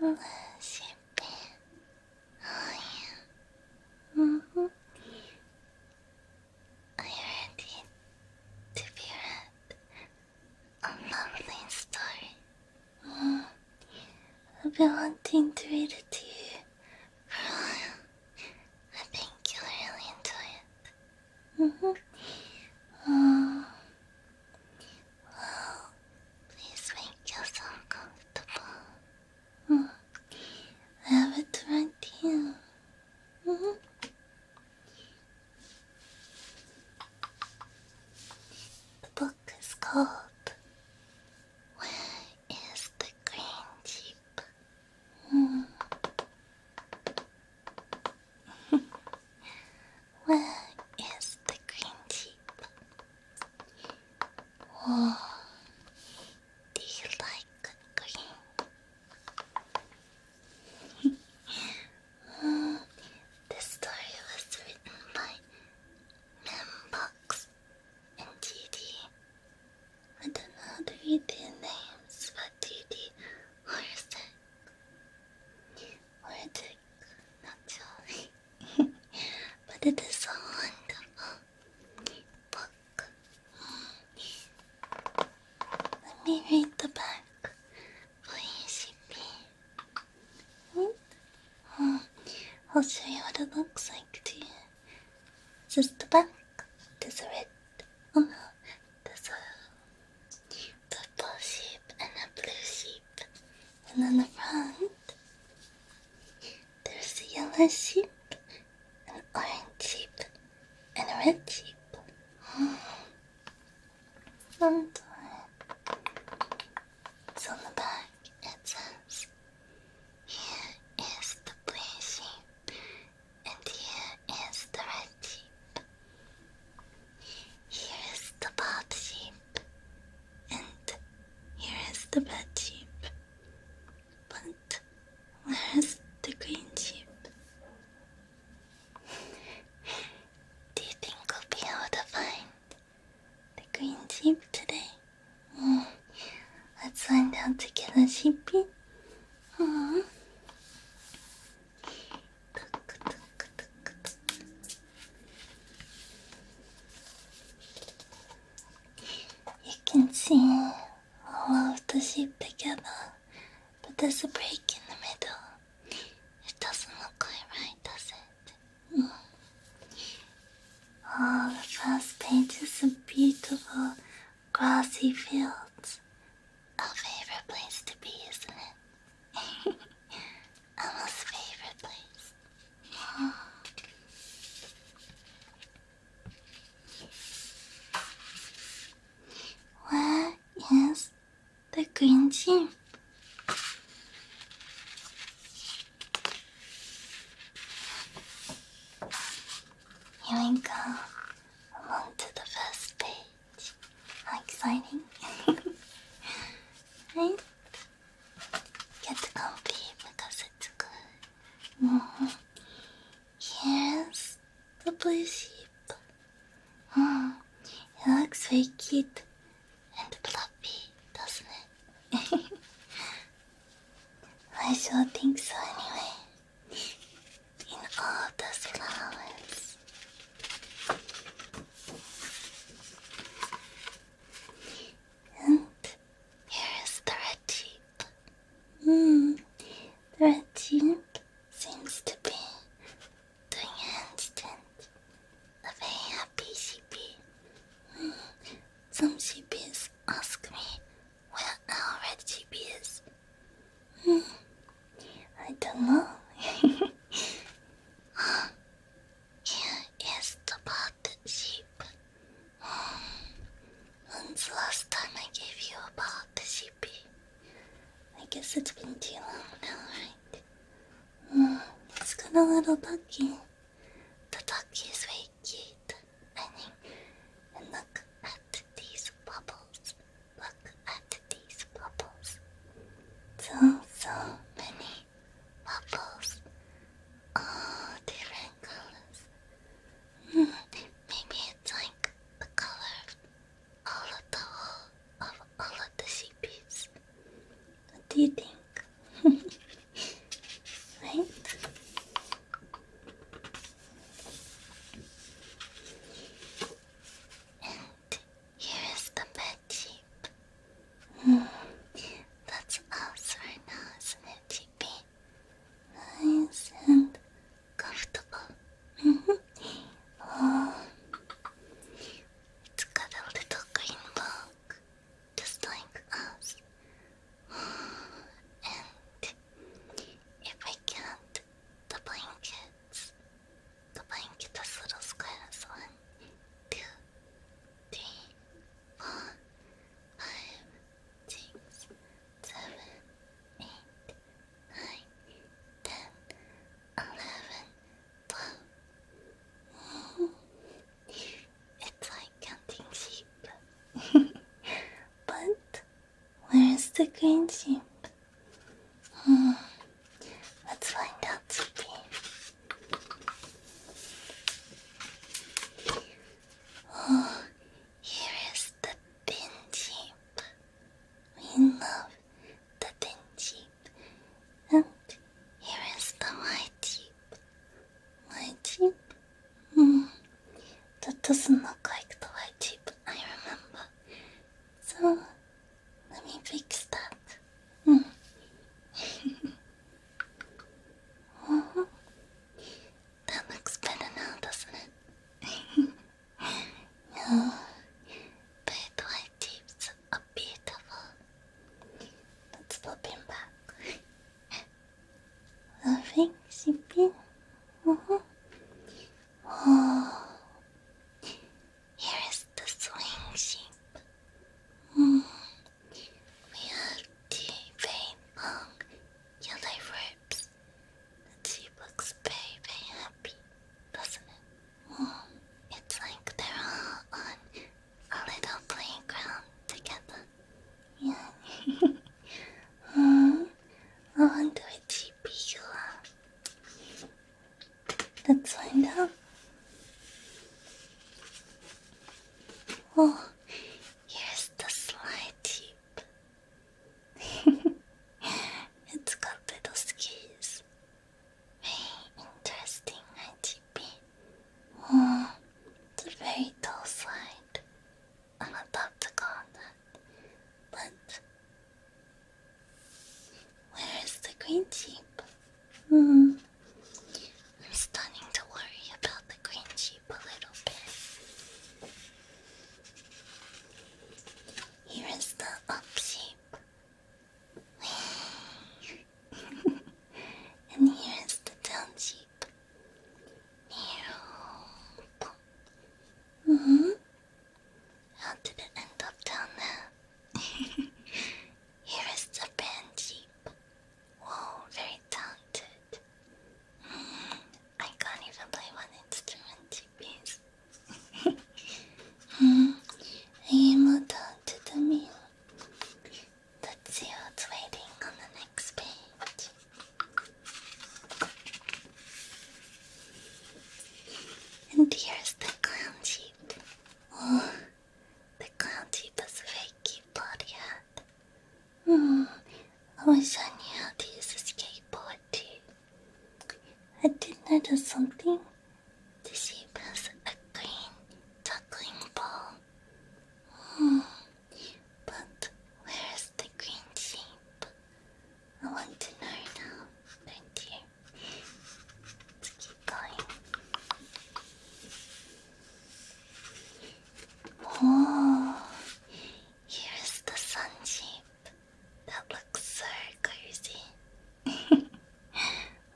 음, 실패. Oh, yeah. mm -hmm. Are to be a lovely story? Mm. I've been wanting to read it to you for a while. I think you'll really enjoy it. Mm -hmm. oh, please make yourself comfortable. I mm-hmm. have it right here. Mm The book is called Where is the Green Sheep? Mm-hmm. Where is the green tip? Oh, do you like green? mm, this story was written by Membox and DD. I don't know how names, but DD or Zach. Or the not jolly, but it is on the book. Let me read the back for you, CP. Hmm? I'll show you what it looks like to you. This is the back. There's a red. Oh there's a the blue sheep and a blue sheep. And on the front, there's a yellow sheep, an orange sheep, and a red sheep. i on the back, it says, Here is the blue sheep, and here is the red sheep. Here's the pop sheep, and here's the bad sheep. But where's the green sheep? Do you think we'll be able to find the green sheep today? Mm. Let's find out together, sheepy. Aww. Mm. You can see all of the sheep together, but there's a break in the middle. It doesn't look quite right, does it? Oh, All the first pages are beautiful, grassy fields. A favorite place to be, isn't it? Emma's favorite place. Where is the green gym? Here we go. Along to the first day. How exciting! right? Get comfy because it's good. Mm the blue sheep. Mm, it looks very cute and fluffy, doesn't it? I sure think so anyway. In all those flowers. And here is the red tip. Hmm, the red tip seems to be doing a handstand. A happy sheepy. Hmm. Some sheepies ask me where our red sheep is. I don't know. Here is the bathed When's the last time I gave you a I guess it's been too long now, right? it's got a little ducky. The ducky is very cute. and look at these bubbles. Look at these bubbles. So, so many bubbles. All oh, different colors. Mm, maybe it's like the color of all of the whole of all of the CPs. What do you think? right? Here is the bed sheep. That's us right now, isn't it, Sheepy? Nice and comfortable. oh. It's got a little green book, just like us. And if I can the blankets. Combine get those little squares. One, two, three, four, five, six, seven, eight, nine, ten, eleven, twelve. It's like counting sheep. but Where's the green sheep? Hmm. Let's find out, sheepy. Oh, here is the pin sheep. We love the pin sheep. And here is the white sheep. White sheep? Hmm. That doesn't look like the white sheep I remember. So let me fix that. Mm. oh, that looks better now, doesn't it? no, but white tips are beautiful. Let's back. Loving, shipping. Uh -huh. Oh, here is the swing shape. Mm. We have the very long yellow ropes. And she looks very, very happy, doesn't it? Mm. It's like they're all on a little playground together. Yeah. mm. I wonder which Let's find out. Oh, yes, the slide tube. it's got little skis. Very interesting, ITP. Oh, it's a very tall slide. I'm about to go on but where is the green sheep? Hmm. I'm starting to worry about the green sheep a little bit. Here is the up sheep. and here is the down sheep. -hmm. How did it end up down there? Here is the band jeep. Whoa, very talented. Hmm, I can't even play one instrument, please. mm, I am down to the meal. Let's see what's waiting on the next page. And here's the clown jeep. Oh, the clown jeep is a very body hat. Oh, I wish I knew how to use a skateboard too. I did notice something. The sheep has a green juggling ball. Oh, but where's the green sheep? I want to know now, Thank you? Let's keep going. Oh, here's the sun shape. That looks so cozy.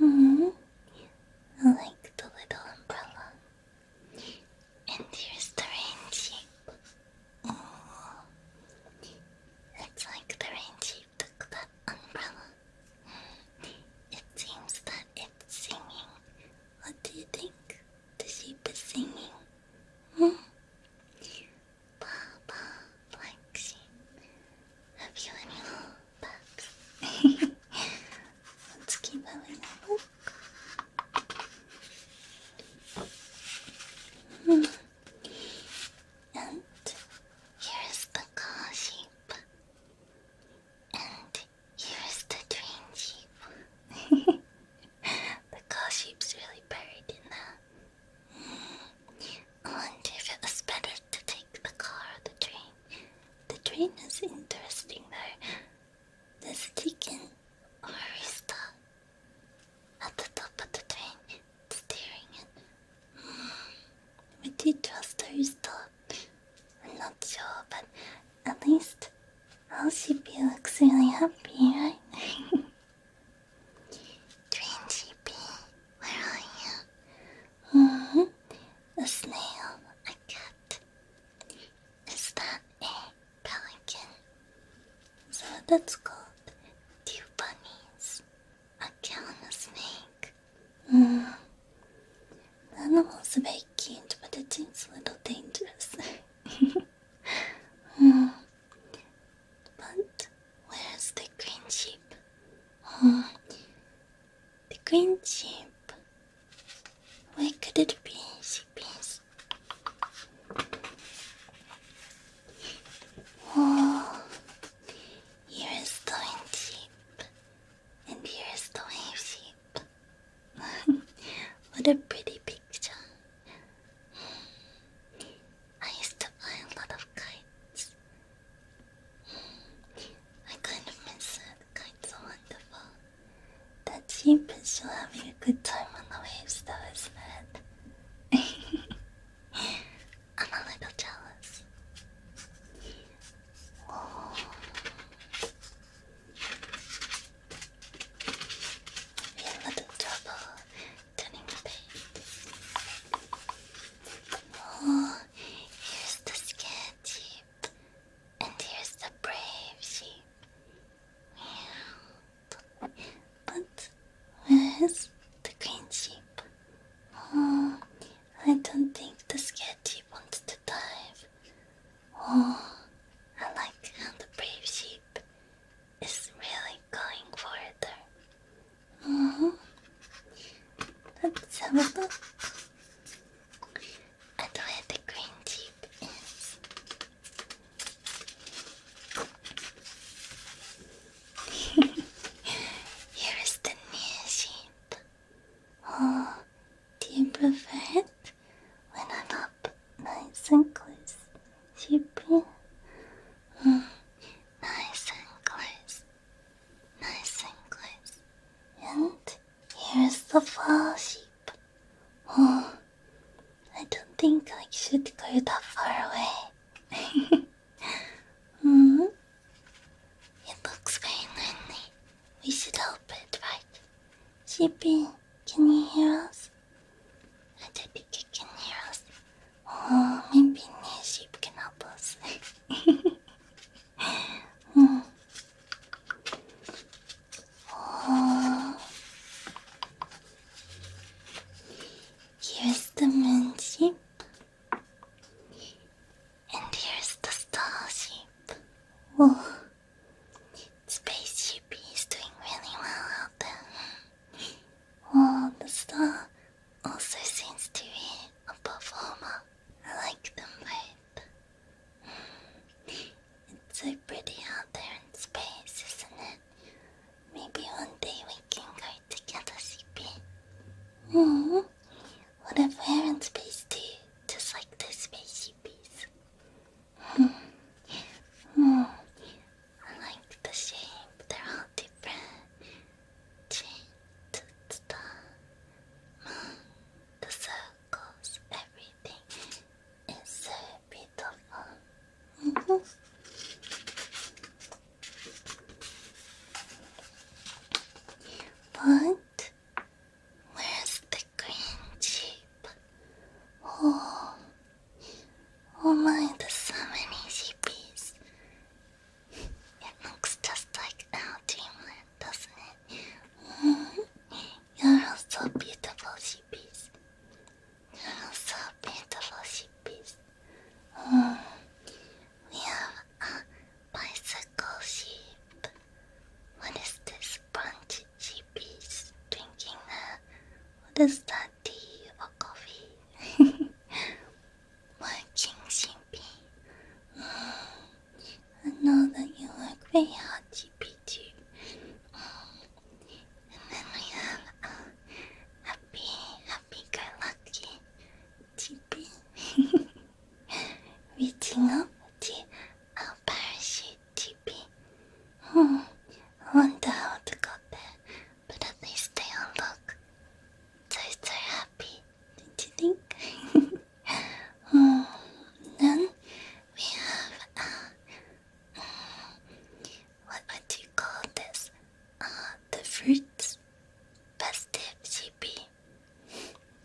-hmm. I like the little umbrella. And here's the rain shape. Oh, it's like the rain took that umbrella. It seems that it's singing. What do you think? The sheep is singing. Hmm? Papa, black sheep, have you any little pups? Let's keep having a And here is the car sheep. And here is the train sheep. the car sheep's really buried in that. I if it was better to take the car or the train. The train is interesting though. Does it take at the top of the train, staring at We did I'm not sure, but at least all she looks really happy, right? train GP, where are you? Mm-hmm. A snail, a cat. Is that a pelican. So that's called two bunnies, a cow and a snake. Mm. animals are very cute, but it seems a little dangerous. Mm. But where's the green sheep? Mm. the green sheep. Where could it be? She Oh, you're and you're so cheap. what a pretty picture! I used to buy a lot of kites. I kind of miss it. Kites are wonderful. That sheep is still having a good time on the waves though, is I'm a little jealous. Oh. Be a little trouble turning the page. Oh, here's the scared sheep, and here's the brave sheep. But where's the green sheep? Oh, I don't think the scared sheep wants to dive. Oh, I like how the brave sheep is really going further. Oh, let's have a and where the green tube Here is the near sheep. Oh, do you prefer when I'm up nice and close, sheepy? Mm, nice and close, nice and close, and Here's the flagship. Oh, I don't think I should go that far away. mm? It looks very lonely. We should help it, right? Shippy, can you hear us? I don't can hear us. Oh, maybe the sheep can help us. mm. Oh. Here's the moon sheep, and here's the starship. space spaceship is doing really well out there. Oh, the star also seems to be a performer. I like them both. It's so pretty out there in space, isn't it? Maybe one day we can go together, CP. Mm hmm. What if we're in space too, just like the spacey CPs? Hmm. Hmm. I like the shape. They're all different. Change the star, moon, the sun. Cause everything is so beautiful. Mm where's the green sheep? Oh, oh my, there's so many It looks just like our dreamland, doesn't it? You're so beautiful, sheepies. You're so beautiful, sheepies. Mm. We have a bicycle sheep. What is this brunch sheepies drinking? Uh, what is that, tea or coffee? Working sheepie. Mm. I know that you like very hot GP2. And then we have uh, happy, happy go lucky TP. Reaching up to our parachute TP. Hmm, I wonder how to got there, but at least they unlock. So, so happy, don't you think? then we have uh, what would you call this? Uh, the fruits festive sheepy.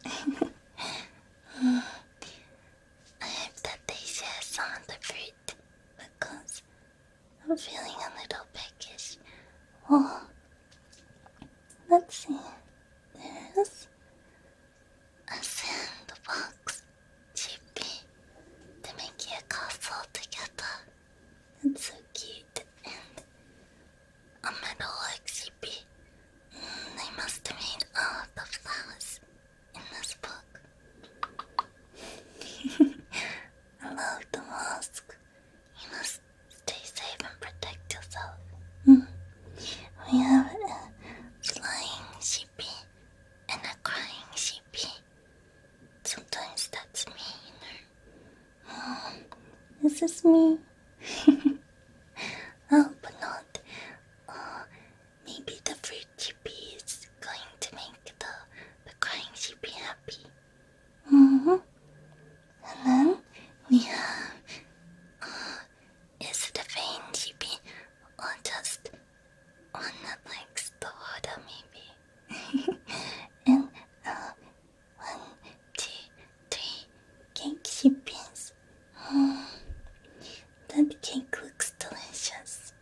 mm, I hope that they share the fruit because I'm feeling a little peckish. Oh, let's see. There's a sandbox chippy to make your castle together. It's so cute and a metalwork chippy. Mm, they must have made all the flowers in this book. I love the mask. You must stay safe and protect yourself. Mm. We have a flying sheepy and a crying sheepy. Sometimes that's me. Um, is this me. oh, but not. Uh, maybe the fruit sheepy is going to make the, the crying sheepy happy. Mm-hmm. And then we have uh, is it a vein chibi or just on the legs, the water maybe? and uh, one, two, three cake shippings. Mm. That cake looks delicious.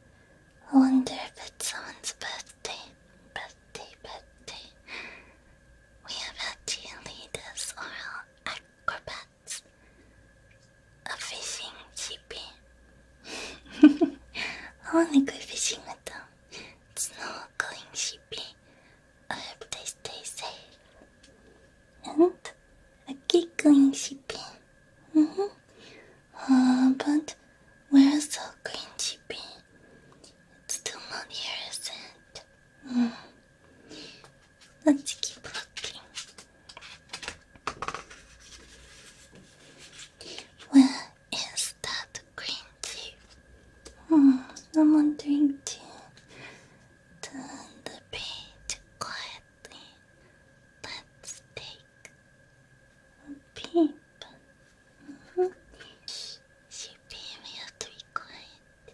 I wonder if it's someone's birthday. Birthday, birthday. We have had cheerleaders or acrobat lots of fishing shipping. Only good fishing at them. It's not going shipping. I hope they stay safe. And I keep going -hmm. uh, but where's the green shipping? It's still not here, isn't it? Mm-hmm. Let's keep looking. Where is that green tea? Hmm, I'm wondering to turn the page quietly. Let's take a peep. Mm -hmm. Superior to be quiet.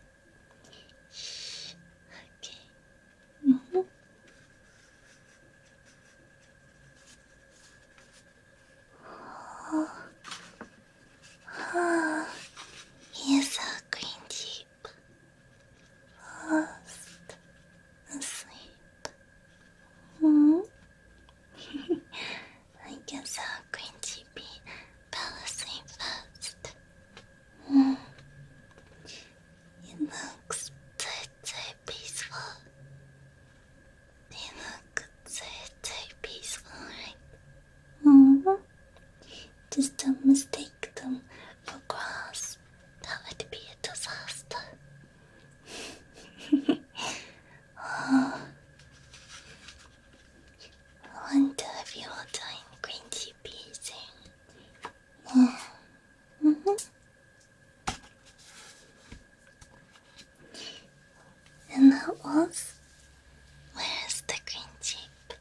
Okay. -hmm. oh. Oh. Yes, our green sheep. Lost asleep. -hmm. I guess our green sheep fell first. Mm. It looks so, so peaceful. They look so, so peaceful, right? -hmm. Just don't mistake them for grass. That would be a disaster. Oh. I want to have you all time crunchy piece. Yeah. -hmm. And that was where's the green chip?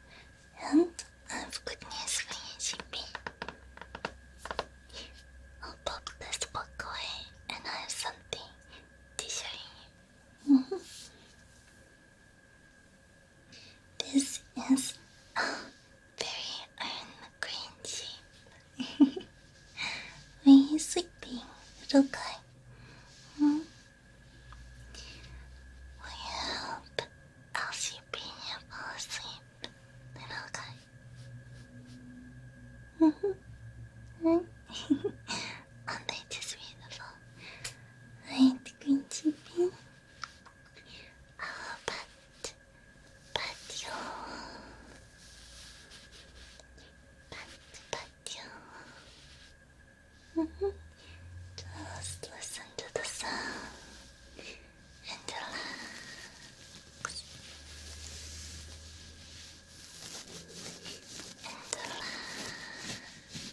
And I've good news for you, Chippy. I'll pop this book and I have something to say. you. Mm-hmm. This is very Iron McGrangy. Were you sleeping, little guy? Hmm? Will you help Elsie Pina fall asleep, little guy? Mm -hmm. hmm. and they just beautiful. Right, green chicken. Oh, but, but you, but, but you. -hmm. Just listen to the sound and relax. And relax.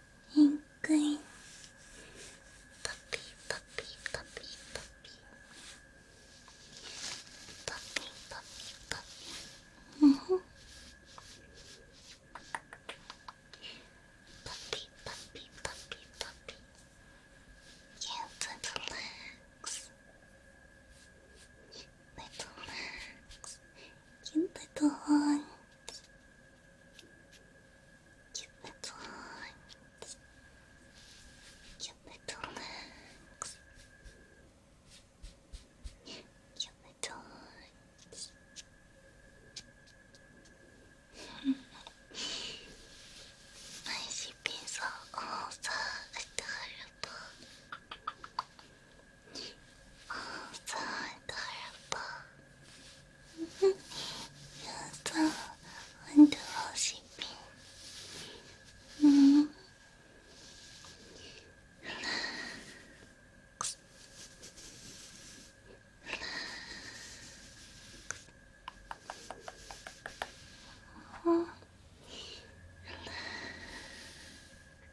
inkling. Puppy, puppy, puppy, puppy. Puppy, puppy, puppy. Mm -hmm. Puppy, puppy, puppy, puppy. Yeah, little legs. Little legs. Cute little horns. Cute little horns. Cute little legs. Cute little horns. My sheep is so also adorable. Oh, so adorable. You're so wonderful shipping.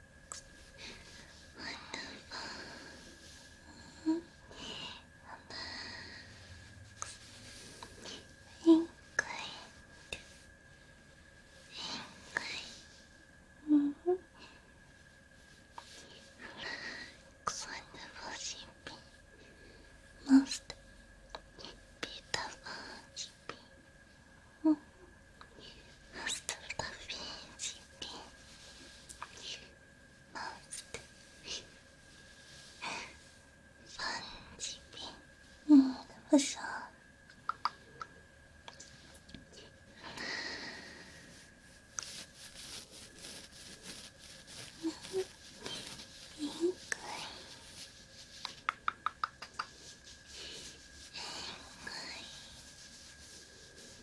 Wonderful. Pink light. Pink light. Mm -hmm. Relax, wonderful sheepy. Most beautiful sheepy. Mm -hmm. Most of the things you did. Most fun, Chippy. 嗯，不说。嗯，银鬼。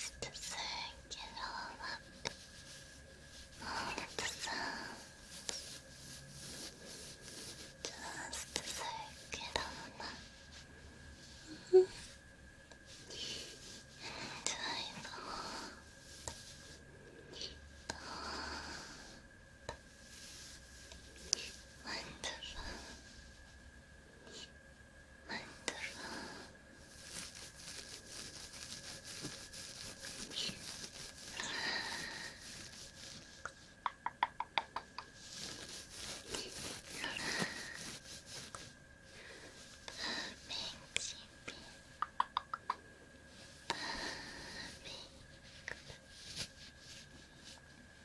Just to soak it all up, all of Just to soak it all up. Mm -hmm. And I thought, thought, Wonderful. Wonderful. Perfect, Chippy. Perfect. Perfect.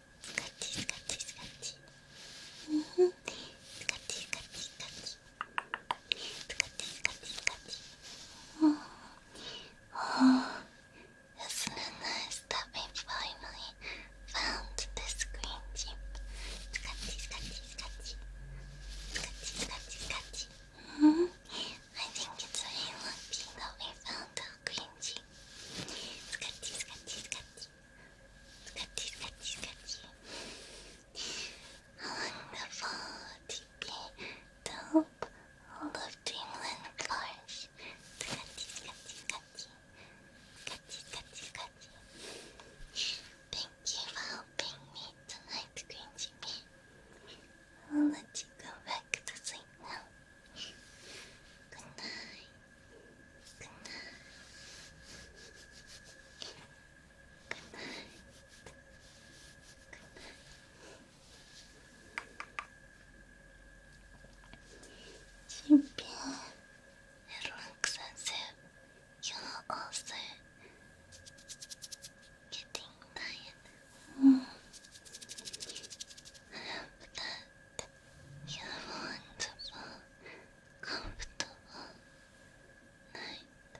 스카치 스카치 스카치 스카치 스카치 스카치 스카치 스카치 스카치 oh. oh. Isn't it nice that we finally found this green gem? Scratchy, scratchy, scratchy. Scratchy, scratchy, scratchy. Mm -hmm. I think it's very lucky that we found our green gem. Scratchy, scratchy, scratchy. Sketchy, sketchy, sketchy. Wonderful TP to help all of Dreamland flourish. Sketchy, sketchy, sketchy. Sketchy, sketchy, sketchy. Thank you for helping me tonight, Green Jimmy. I'll let you go back to sleep now. Good night. Good night. Good night. relaxation. You're also getting tired. You want a comfortable night.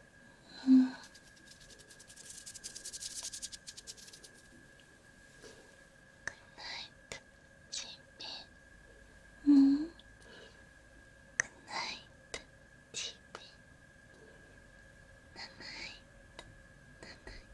Mm. Good night, Chippy. Mm. Good night, Chippy. Good night. Good night.